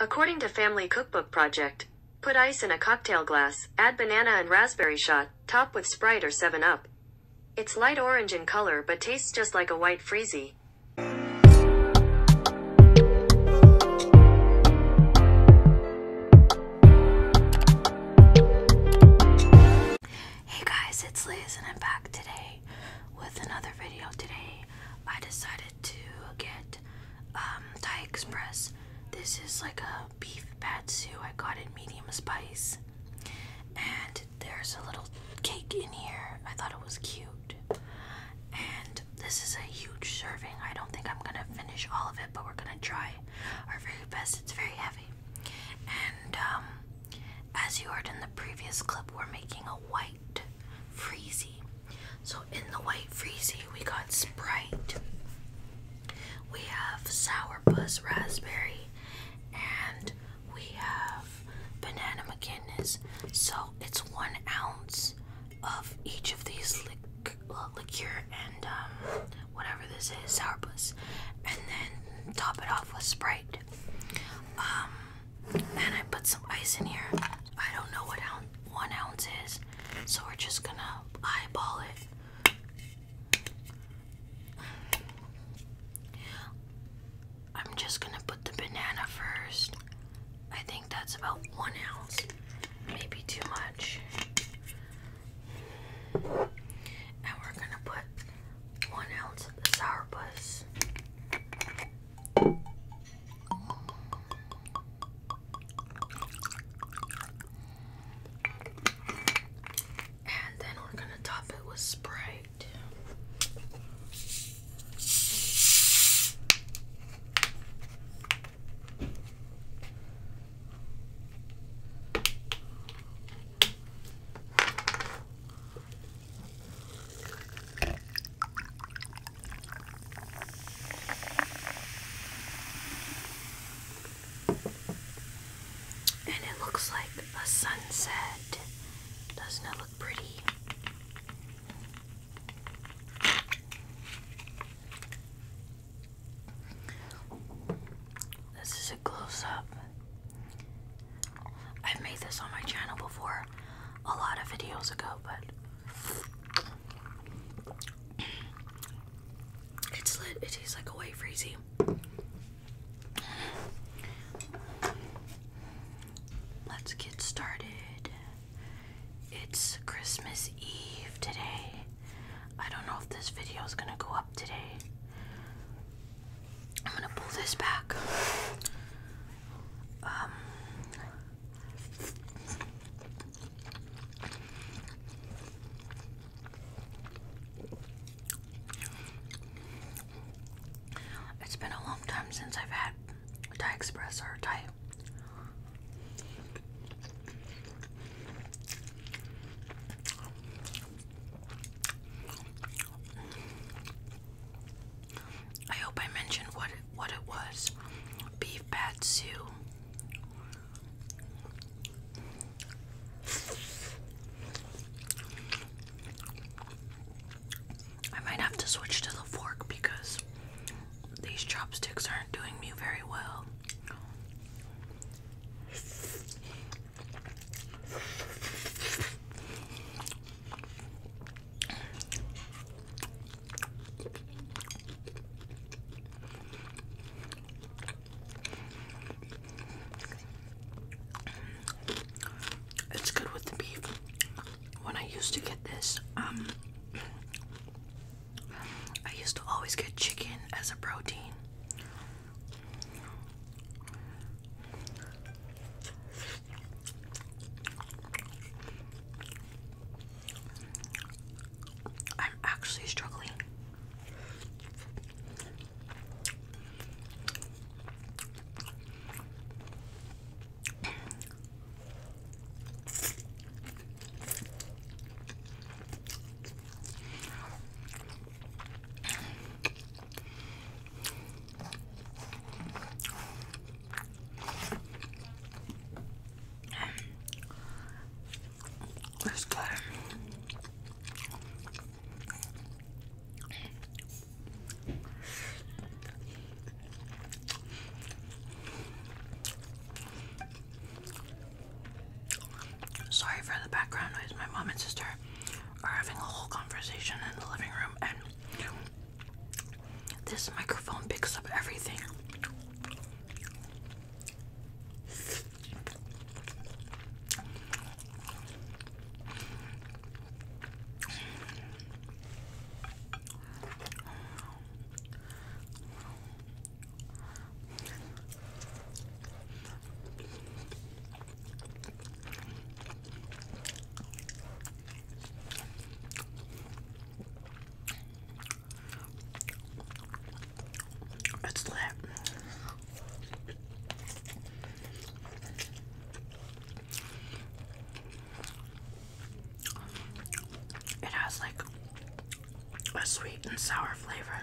According to Family Cookbook Project, put ice in a cocktail glass, add banana and raspberry shot, top with Sprite or 7-Up. It's light orange in color but tastes just like a white freezy. Hey guys, it's Liz and I'm back today with another video. Today I decided to get um, Thai Express. This is like a beef pad patsu. I got it medium spice. And there's a little cake in here. I thought it was cute. And this is a huge serving. I don't think I'm gonna finish all of it, but we're gonna try our very best. It's very heavy. And um, as you heard in the previous clip, we're making a white freezy. So in the white freezy, we got Sprite. We have sour raspberry, and we have banana McKinnis. So it's one ounce of each of these lic uh, and um, whatever this is, sour and then top it off with Sprite. Um, and I put some ice in here. I don't know what one ounce is, so we're just gonna eyeball it. I'm just gonna put the banana first. I think that's about one ounce, maybe too much. And we're gonna put one ounce of the and then we're going to top it with Sprite. And it looks like a sunset. Doesn't it look pretty? This is a close up. I've made this on my channel before a lot of videos ago, but it's lit. It tastes like a white freezy. Let's get started. It's Christmas Eve today. I don't know if this video is gonna go up today. I'm gonna pull this back. Um, it's been a long time since I've had Thai Express or Thai. I hope I mentioned what it, what it was. Beef patsu. I might have to switch to the fork because these chopsticks aren't doing me very well. It's good with the beef. When I used to get this, um, I used to always get chicken as a protein. I'm actually struggling. It's good. Sorry for the background noise. My mom and sister are having a whole conversation in the living room, and this microphone picks up everything. It's lit. It has like a sweet and sour flavor.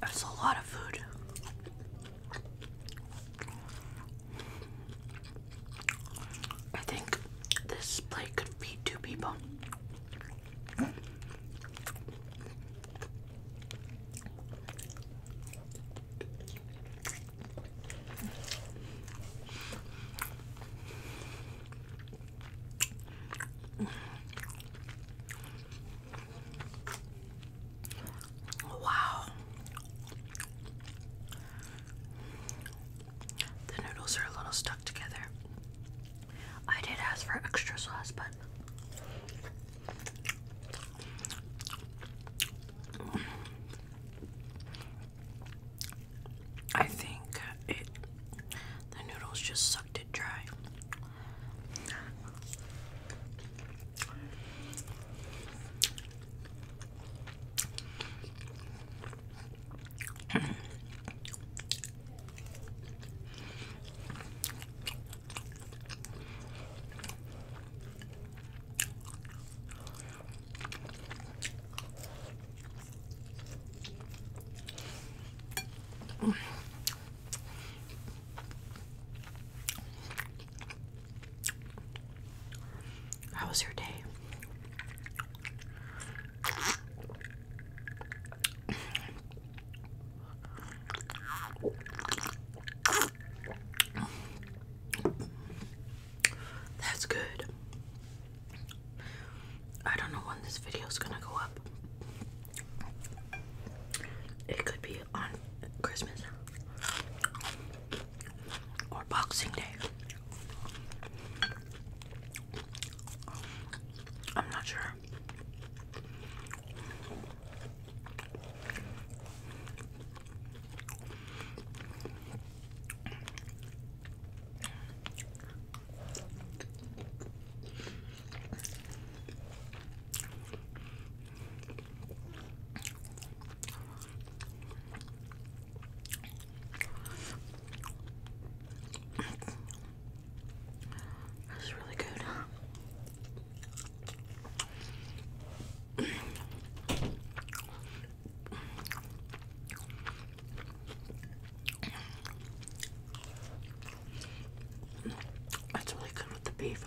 That's a lot of food. I think this plate could feed two people. Wow. The noodles are a little stuck together. I did ask for extra sauce, but I think it the noodles just sucked it dry. How was your day? That's good. I don't know when this video is gonna go up. It could be on Christmas or Boxing Day. I'm not sure. That's really good. That's really good with the beef.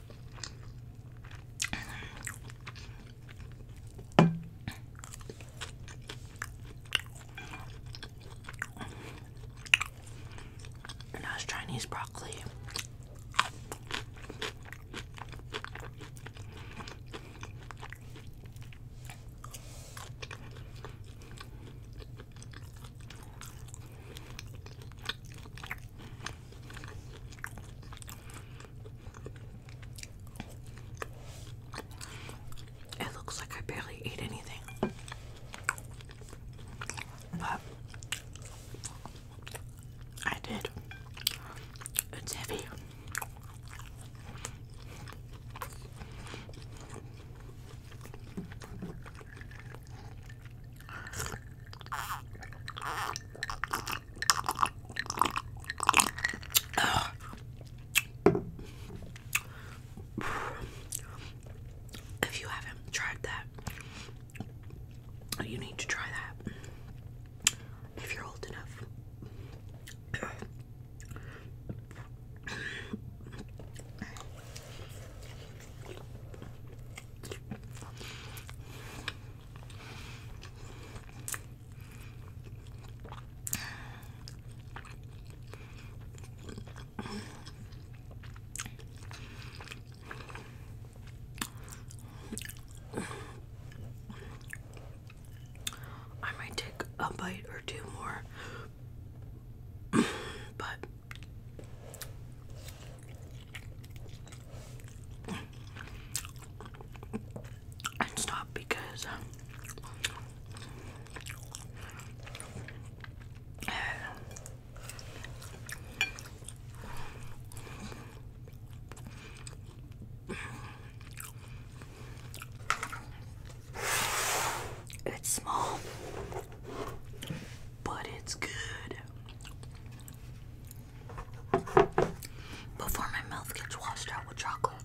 And Chinese broccoli. It looks like I barely ate anything. But I did. It's heavy. If you haven't tried that, you need to try that if you're old enough. I might take a bite or two more, but and stop because um, it's small, but it's good before my mouth gets washed out with chocolate.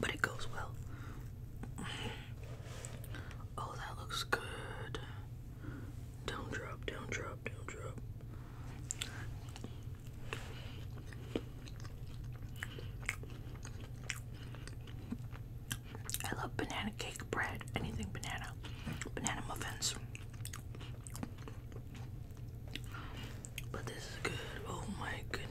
But it goes well. Oh, that looks good. Don't drop, don't drop, don't drop. I love banana cake bread, anything banana, banana muffins. But this is good. Oh my goodness.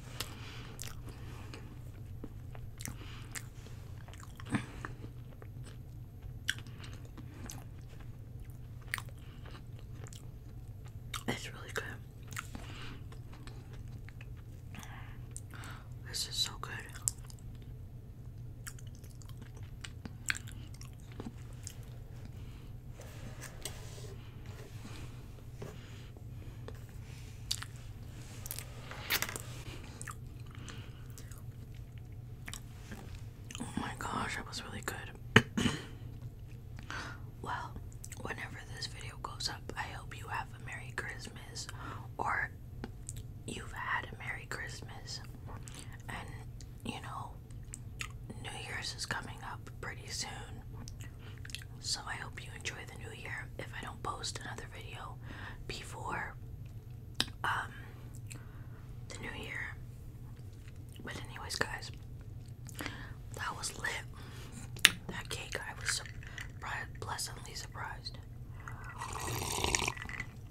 It's really good. This is so good. Oh my gosh, that was really good. well, whenever this video goes up, I hope you have a Merry Christmas or you've had a Merry Christmas. And you know, New Year's is coming up pretty soon. So I hope you enjoy the new year. If I don't post another video before um, the new year. But anyways guys, that was lit. That cake I was pleasantly surprised.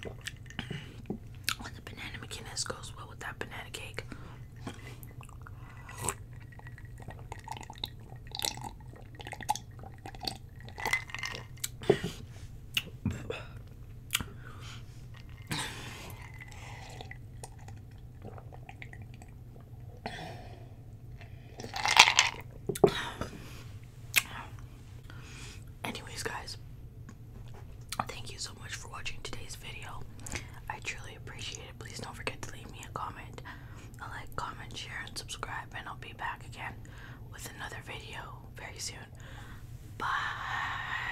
When the banana McInnes goes well with that banana cake. Anyways, guys, thank you so much for watching today's video. I truly appreciate it. Please don't forget to leave me a comment like, comment, share, and subscribe, and I'll be back again with another video very soon. Bye.